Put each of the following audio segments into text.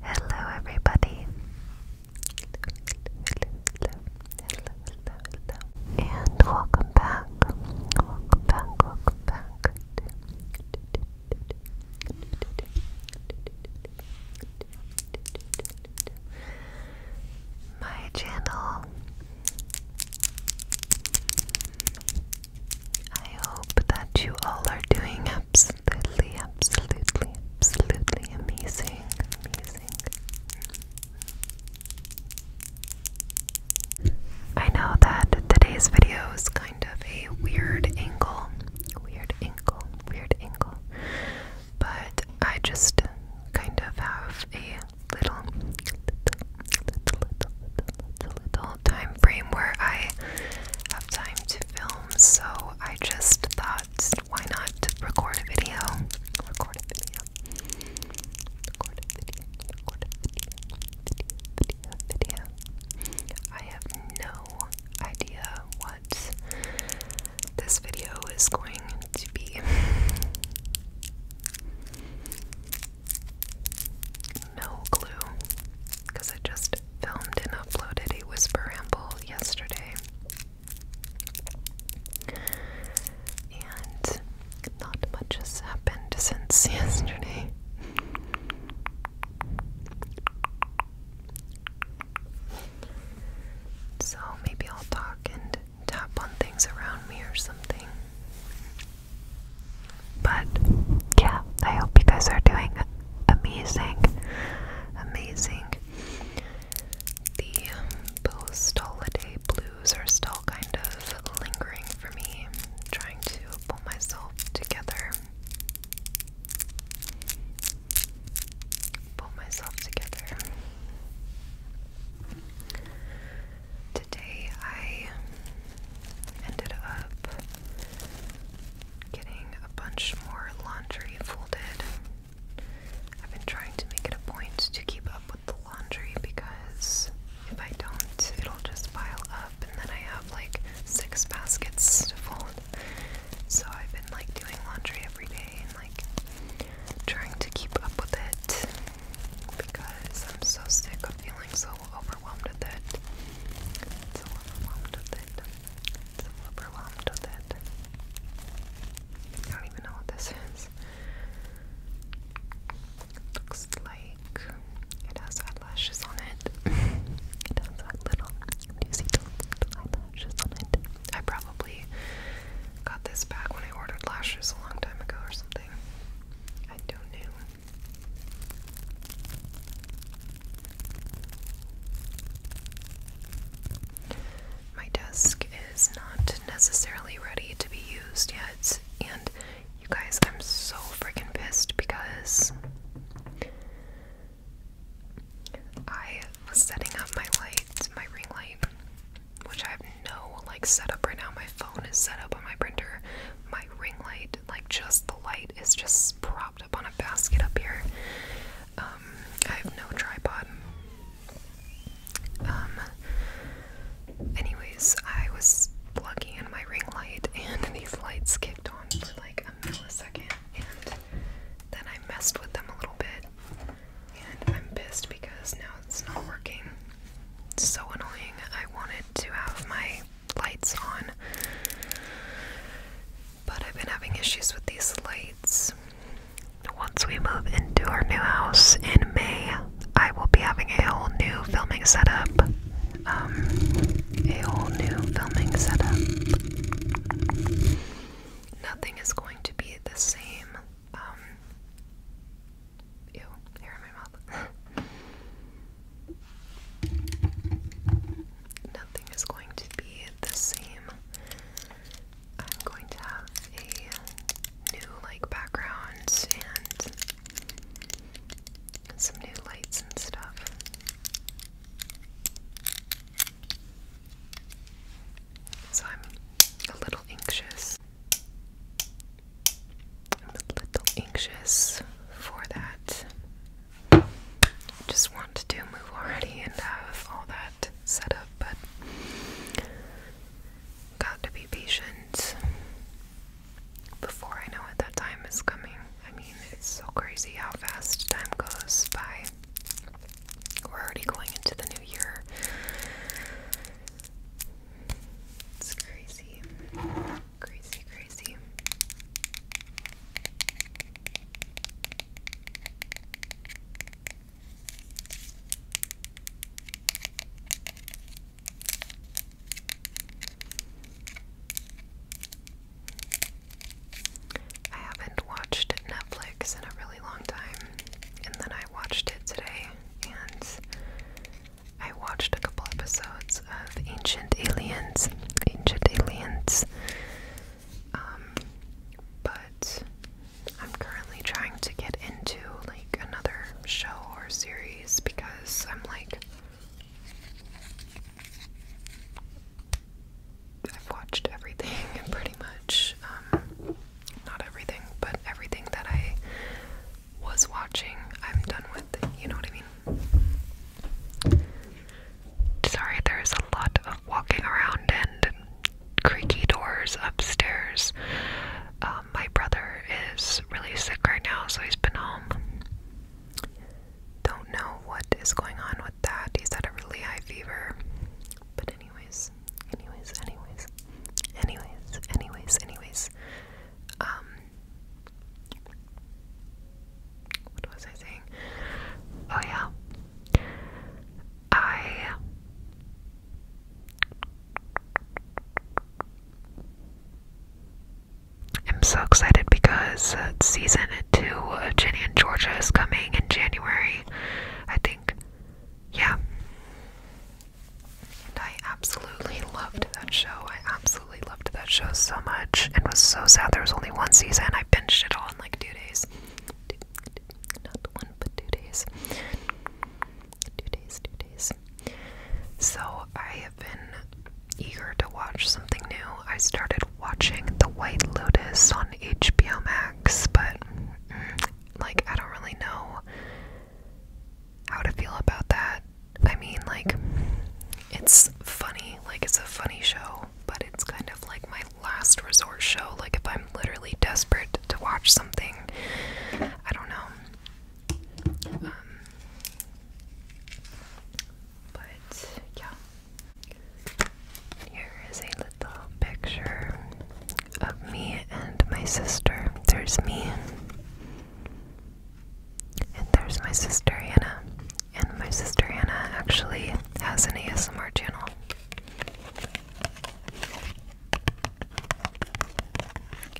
Hello, everybody. And welcome back. Welcome back, welcome back. My channel. I hope that you all are doing absolutely, absolutely, absolutely amazing, amazing. I know that today's video is kind of a weird angle, weird angle, weird angle, but I just kind of have a little, little, little, little, little, time frame where I have time to to so I just thought, why not record a video? Record a video. Record a video. video. Video. Video. video. I have no idea what this video is going to be. No clue, because I just filmed and uploaded a whisper ramble yesterday. And not much has happened since yesterday. So maybe I'll talk and tap on things around me or something. But yeah, I hope you guys are doing amazing, amazing. The post um, holiday blues are still kind of lingering for me, trying to pull myself together. Pull myself together. Today I ended up getting a bunch more laundry folded. I've been trying to make it a point to keep up with the laundry because if I don't, it'll just pile up and then I have like six baskets to fold. So I've been like doing laundry every day and like trying to keep up with it because I'm so sick of feeling so overwhelmed with it. So overwhelmed with it so overwhelmed with it. I don't even know what this is. looks like it has eyelashes on it. it has little, do little eyelashes on it? I probably got this back when I ordered lashes a long time ago or something. I don't know. My desk is not necessarily ready to be used yet, and you guys, I'm so freaking pissed because I was setting up my light, my ring light, which I have no like setup right now. My phone is set up on my printer. My ring light, like just the light, is just prop up on a basket up here. Um, I have no tripod. Um, anyways, I was plugging in my ring light and these lights kicked on for like a millisecond and then I messed with them a little bit and I'm pissed because now it's not working. so annoying. I wanted to have my lights on but I've been having issues with these lights. Once we move into our new house in May, I will be having a whole new filming setup. Um, a whole new filming setup. Nothing is going to be the same. Um, ew, in my mouth. Nothing is going to be the same I'm going to have a new like background and some new lights and stuff. So I'm a little anxious. I'm a little anxious for that just want to move already and have all that set up, but got to be patient before I know it that time is coming. I mean, it's so crazy how fast time goes by. We're already going into the new year. It's crazy. Crazy, crazy. I haven't watched Netflix in a really long time, and then I watched it today, and I watched a couple episodes of Ancient Aliens. Ancient Aliens um, but I'm currently trying to get into like another show or series because I'm like, I've watched everything and pretty much. Um, not everything, but everything that I was watching, I'm done with. You know what I mean? Sorry, there's a lot of walking around and creaky doors upstairs. Um, my brother is really sick right now, so he's been home. Don't know what is going on with that. He's had a really high fever. But, anyways, anyways, anyways, anyways, anyways, anyways. Um, what was I saying? Oh, yeah. I. am so excited because uh, season two of Ginny and Georgia is coming in January, I think. Yeah. And I absolutely loved that show. I absolutely loved that show so much and was so sad there was only one season. I binged it all in like two days not one, but two days. Two days, two days. So I have been eager to watch something new. I started watching The White Lotus on HBO Max, but mm, like I don't really know how to feel about that. I mean, like it's funny, like it's a funny show, but it's kind of like my last resort show. Like, if I'm literally desperate to watch something, I don't know. Um, but yeah. Here is a little picture of me and my sister. There's me. And there's my sister Anna. And my sister Anna actually has an ASMR channel.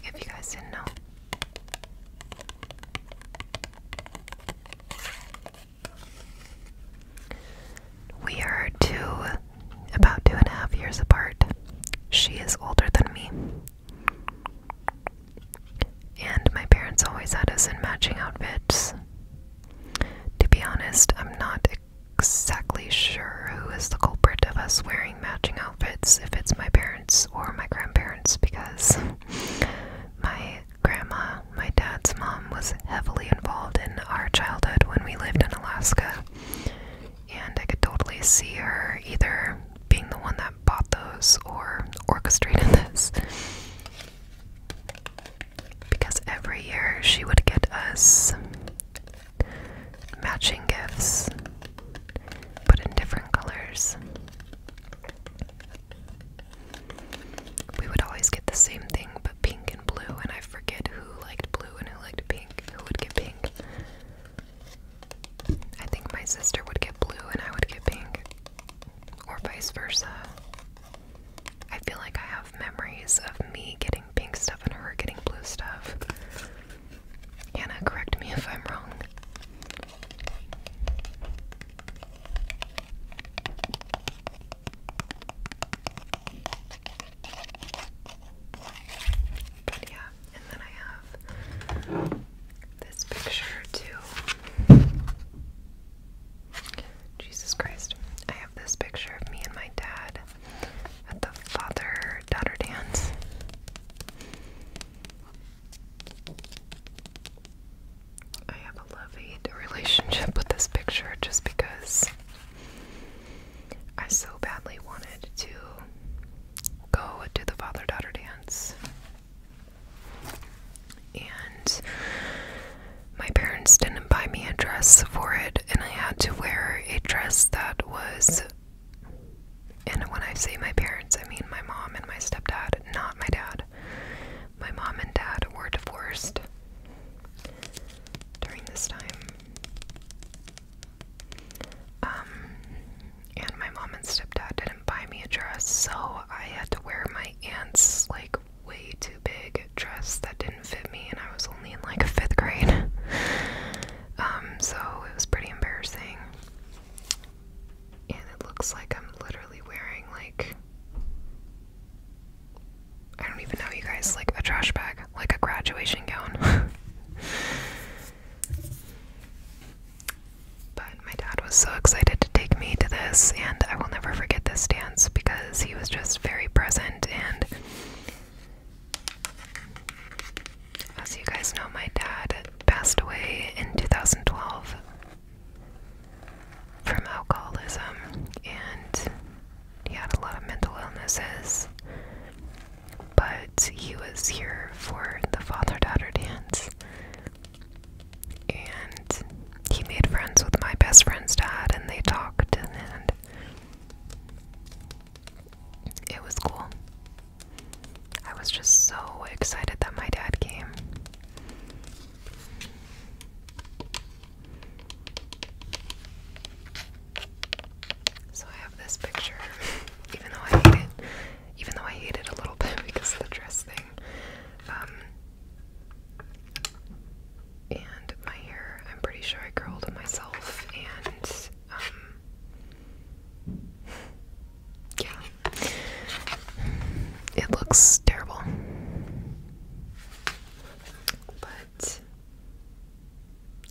If you guys didn't know. We are two, about two and a half years apart. She is older than me. And my parents always had us in matching outfits. To be honest, I'm not exactly sure who is the culprit of us wearing matching outfits, if it's my parents or my grandparents, because my grandma, my dad's mom, was heavily involved in our childhood when we lived in Alaska. And I could totally see her either being the one that bought those or orchestrated this because every year she would get us matching gifts, but in different colors. We would always get the same thing, but pink and blue, and I forget who liked blue and who liked pink. Who would get pink? I think my sister would get blue and I would get pink, or vice versa. I feel like I have memories of me getting pink stuff and her getting blue stuff. Anna, correct me if I'm wrong. But yeah, and then I have this picture too. Jesus Christ. I have this picture of me and my dad at the father daughter dance. I have a love hate relationship with this picture just because I so badly wanted to go to the father daughter dance and my parents didn't buy me a dress for it, and I had to wear a dress that was. And when I say my parents, I mean my mom and my stepdad, not my dad. My mom and dad were divorced during this time. Um, and my mom and stepdad didn't buy me a dress, so I had to wear my aunt's, like, way too big dress that didn't fit me, and I was only in like fifth grade. Um, so it was pretty embarrassing. And it looks like I'm literally wearing like I don't even know, you guys, like a trash bag, like a graduation gown. but my dad was so excited to take me to this, and I will never forget this dance because because he was just very present and as you guys know my dad passed away in 2012 from alcoholism and he had a lot of mental illnesses but he was here for the father daughter dance and he made friends with my best friend's dad and they talked and it was cool. I was just so excited that my dad came. So I have this picture, even though I hate it, even though I hate it a little bit because of the dress thing. Um, and my hair, I'm pretty sure I curled it myself, and, um, yeah, it looks terrible, but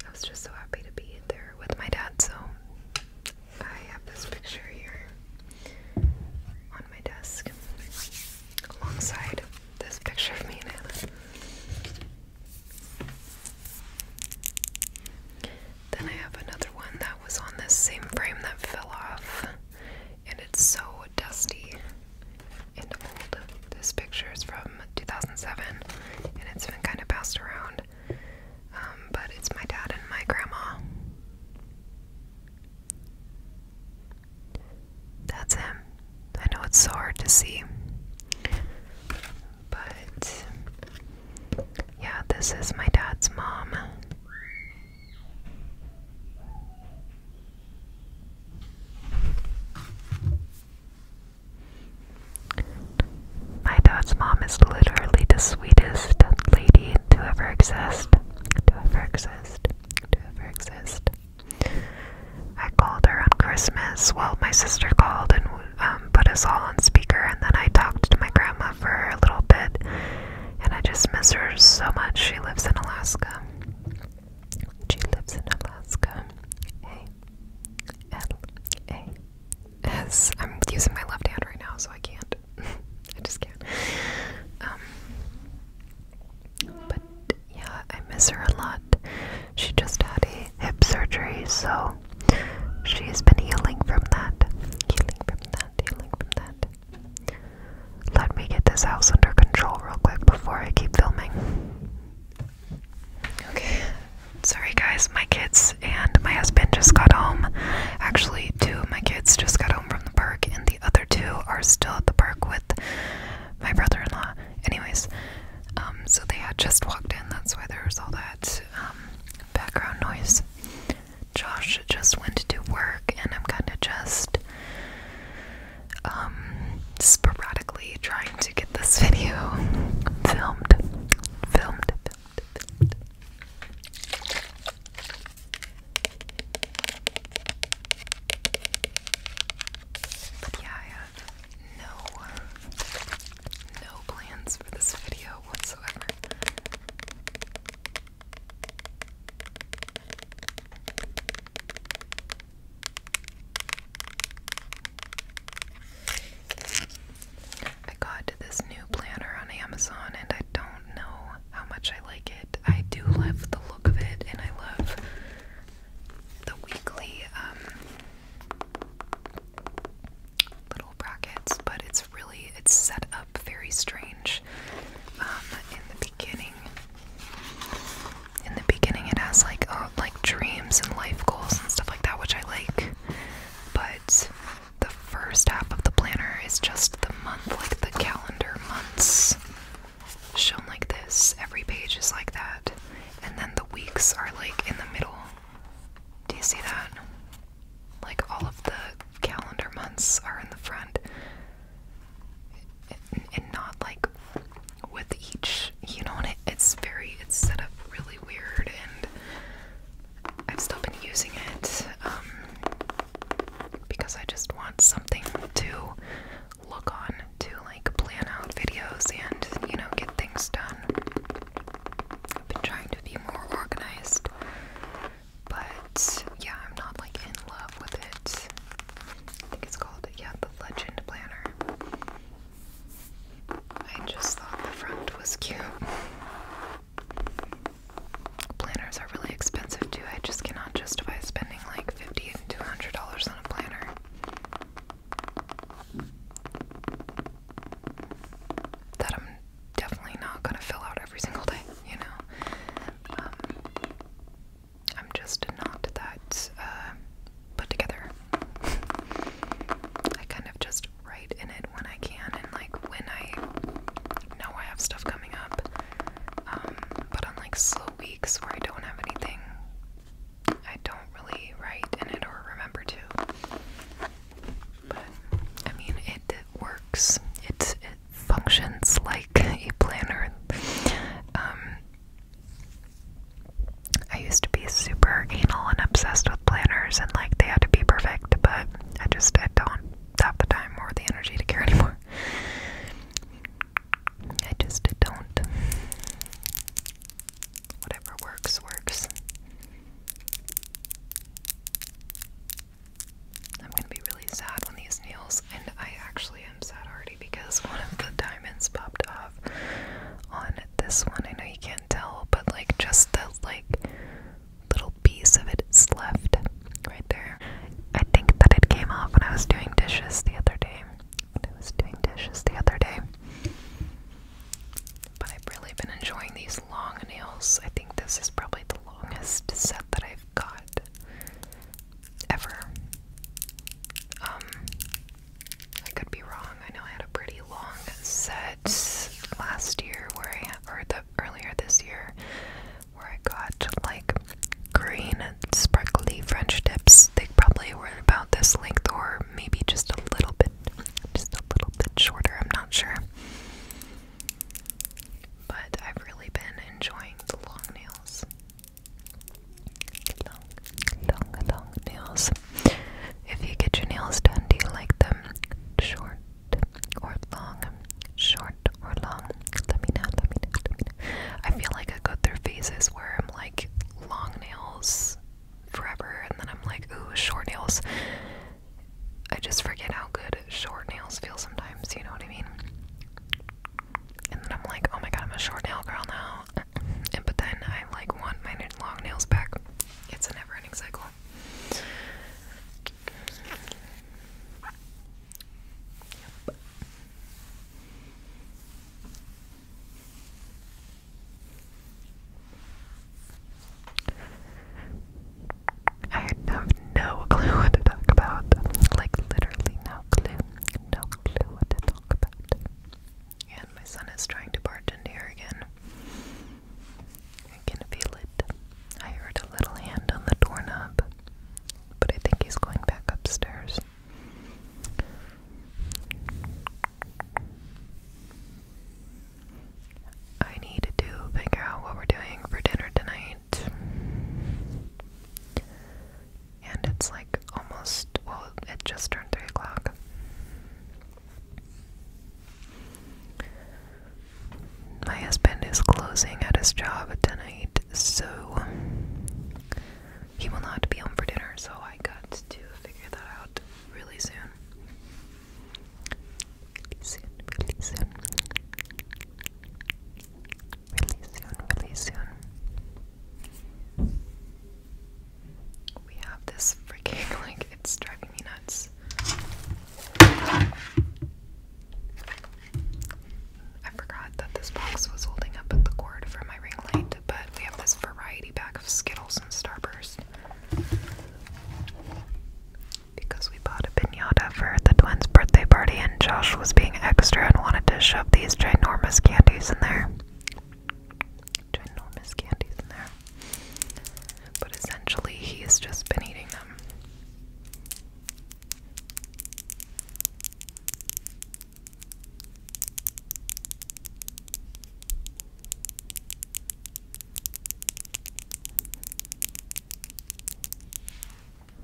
I was just so happy to be there with my dad, so I have this picture here on my desk alongside this picture of me now. Then I have another one that was on this same frame that fell off, and it's so dusty and old. This picture is from 2007, and it's been kind of passed around. Um, but it's my dad and my grandma. That's him. I know it's so hard to see. But yeah, this is my dad's mom. My dad's mom is literally the sweetest lady to ever exist. To ever exist. To ever exist. I called her on Christmas. Well, my sister called and um, put us all on speaker, and then I talked to my grandma for a little bit, and I just miss her so much. She lives in Alaska. She lives in Alaska. i A S. I'm using my left hand right now, so I can't. I just can't. Um, but yeah, I miss her a lot. She just had a hip surgery, so she's been healing from that. Healing from that, healing from that. Let me get this house under control real quick before I keep filming. Okay. Sorry guys, my kids and my husband just got home. Actually, two of my kids just got home from the park and the other two are still at the park with my brother-in-law. Anyways, um, so they had just walked in. That's why there was all that um, background noise. Josh just went to work, and I'm kind of just um, sporadically trying to get this video filmed, filmed, filmed, filmed yeah, I have no, no plans for this video whatsoever. I got this new planner on Amazon and I don't know how much I like it. I do love the look of it and I love the weekly um, little brackets, but it's really it's set up very strange. Um, in the beginning, in the beginning, it has like uh, like dreams and life goals and stuff like that, which I like. But the first half of the planner is just the month, like the calendar months shown like this. Every page is like that. And then the weeks are like in the middle. Do you see that? Like all of the calendar months are in the front. And, not like with each, you know, and it's very, it's set up really weird and I've still been using it um, because I just want something to look on to like plan out videos and, you know, get things done. I've been trying to be more organized, but yeah, I'm not like in love with it. I think it's called, yeah, the Legend Planner. I just thought the front was cute. Planners are really expensive too. I just cannot justify spending like $50 and $200 on a planner that I'm definitely not gonna fill out every single day, you know. Um, I'm just not that uh, put together. I kind of just write in it when I can, and like when I know I have stuff coming up. Um, but on like slow weeks where I don't have anything I don't really write in it or remember to. But I mean, it, works. It it functions like a planner. um, I used to be super anal and obsessed with planners, and like they had to be perfect. But I just I don't have the time or the energy to care anymore. I just don't. Whatever works, works. I'm gonna be really sad when these nails, and I actually am sad already because one of the diamonds popped off on this one. I know you can't tell, but like just the like little piece of it is left right there. I think that it came off when I was doing dishes the other day. I was doing dishes the other day. But I've really been enjoying these long nails. I think this is probably the longest set that I've got ever. Um, I could be wrong. I know I had a pretty long set last year where I, or the earlier this year, where I got like green, and sparkly French tips. They probably were about this length or maybe just a little bit just a little bit shorter, I'm not sure. But I've really been enjoying the long nails. Long, long, long nails. If you get your nails done, do you like them short or long? Short or long? let me know, let me know. I feel like I go through phases where I'm like, long nails forever, and then I'm like, ooh, short nails. I just forget how good short nails feel sometimes, you know what I mean? And then I'm like, oh my god, I'm a short nail girl now. And but then I like want my long nails back. It's a never ending cycle. I have no clue what to talk about. Like, literally, no clue. No clue what to talk about. And my son is trying to bartend here again. I can feel it. I heard a little hand on the doorknob, but I think he's going back upstairs. I need to figure out what we're doing for dinner tonight. And it's like almost, well, it just turned 3 o'clock. My husband is closing at his job tonight, so he will not be home for dinner, so I got to figure that out really soon. Really soon, really soon. Really soon, really soon. We have this freaking, like, it's driving me nuts. I forgot that this box was holding up the cord from ring light, but we have this variety pack of Skittles and Starburst. Because we bought a pinata for the twins' birthday party, and Josh was being extra and wanted to shove these ginormous candies in there. Ginormous candies in there. But essentially, he's just been eating them.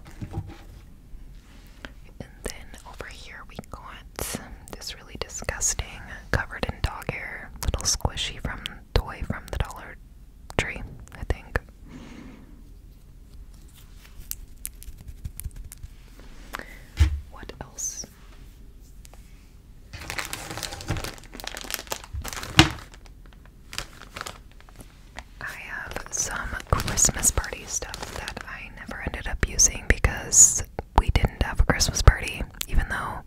And then over here we got this really disgusting, covered in dog hair, little squishy from toy from the Dollar Tree, I think. What I have some Christmas party stuff that I never ended up using because we didn't have a Christmas party, even though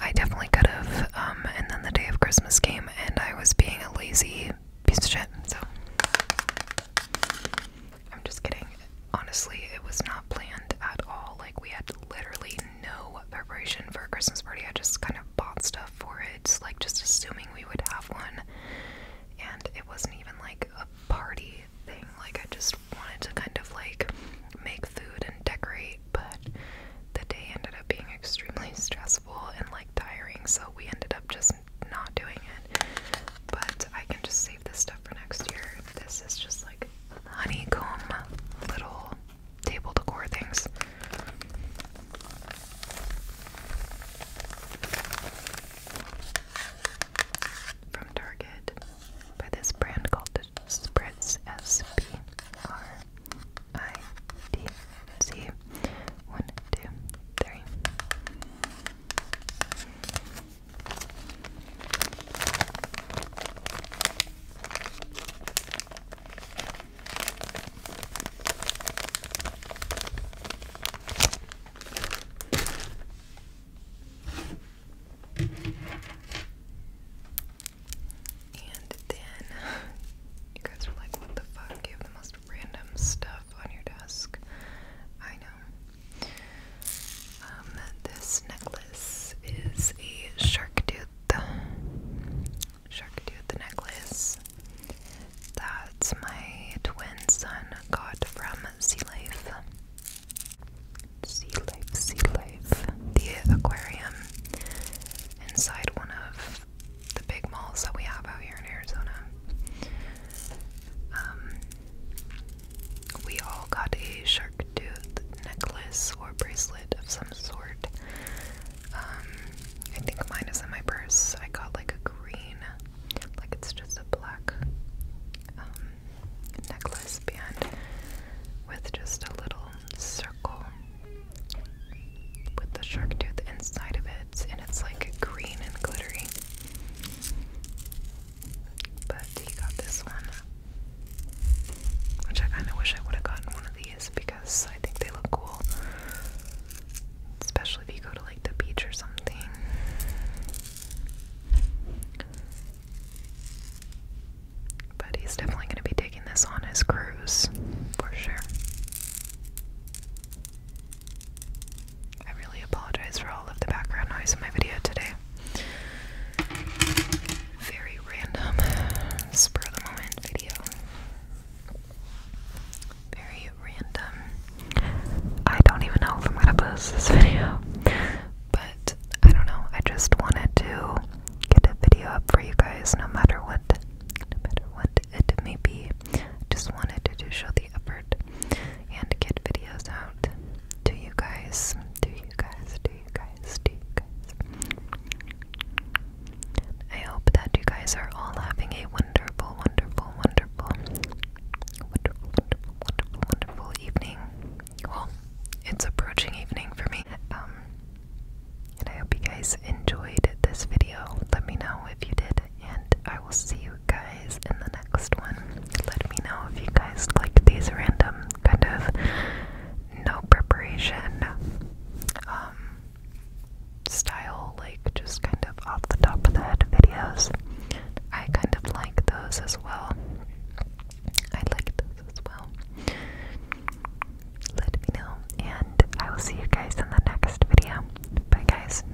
I definitely could have. Um, and then the day of Christmas came, and I was being a lazy piece of shit. So I'm just kidding. Honestly, it was not planned at all. Like, we had literally no preparation for a Christmas party. I just kind of bought stuff for it, like, just assuming we would have one. And it wasn't even like a party thing. Like, I just wanted to kind of like make food and decorate, but the day ended up being extremely stressful and like tiring, so we ended up just not doing it. But I can just save this stuff for next year. This is just like honeycomb little table decor things. From Target by this brand called Spritz S P R I D C. One, two, three. And then you guys were like, what the fuck? You have the most random stuff on your desk. I know. Um, this necklace is a shark tooth, shark tooth necklace that my twin son got from Sea Life. Sea Life, Sea Life, the aquarium inside one of the big malls that we have out here in Arizona. Um, we all got a shark tooth necklace or bracelet of some sort. Um, I think mine is in my purse. I got like a green, like it's just a black um, necklace band with just a little circle with the shark tooth inside of it, and it's like green and glittery. But he got this one. Which I kind of wish I would have gotten one of these because I think they look cool. Especially if you go to like the beach or something. But he's definitely going to be taking this on his cruise for sure. I really apologize for all of the background noise in my video today. Very random, spur of the moment video. Very random. I don't even know if I'm gonna post this video, but I don't know. I just wanted to get a video up for you guys no matter what, no matter what it may be. just wanted to show the effort and get videos out to you guys, to you guys, to you guys, to you guys. I hope that you guys are all having a wonderful, wonderful, wonderful, wonderful, wonderful, wonderful, wonderful evening. Well, it's approaching evening for me. Um, and I hope you guys enjoyed this video. Let me know if you did, and I will see you you guys in the next one. Let me know if you guys liked these random kind of no preparation um, style like just kind of off the top of the head videos. I kind of like those as well. I like those as well. Let me know and I will see you guys in the next video. Bye guys.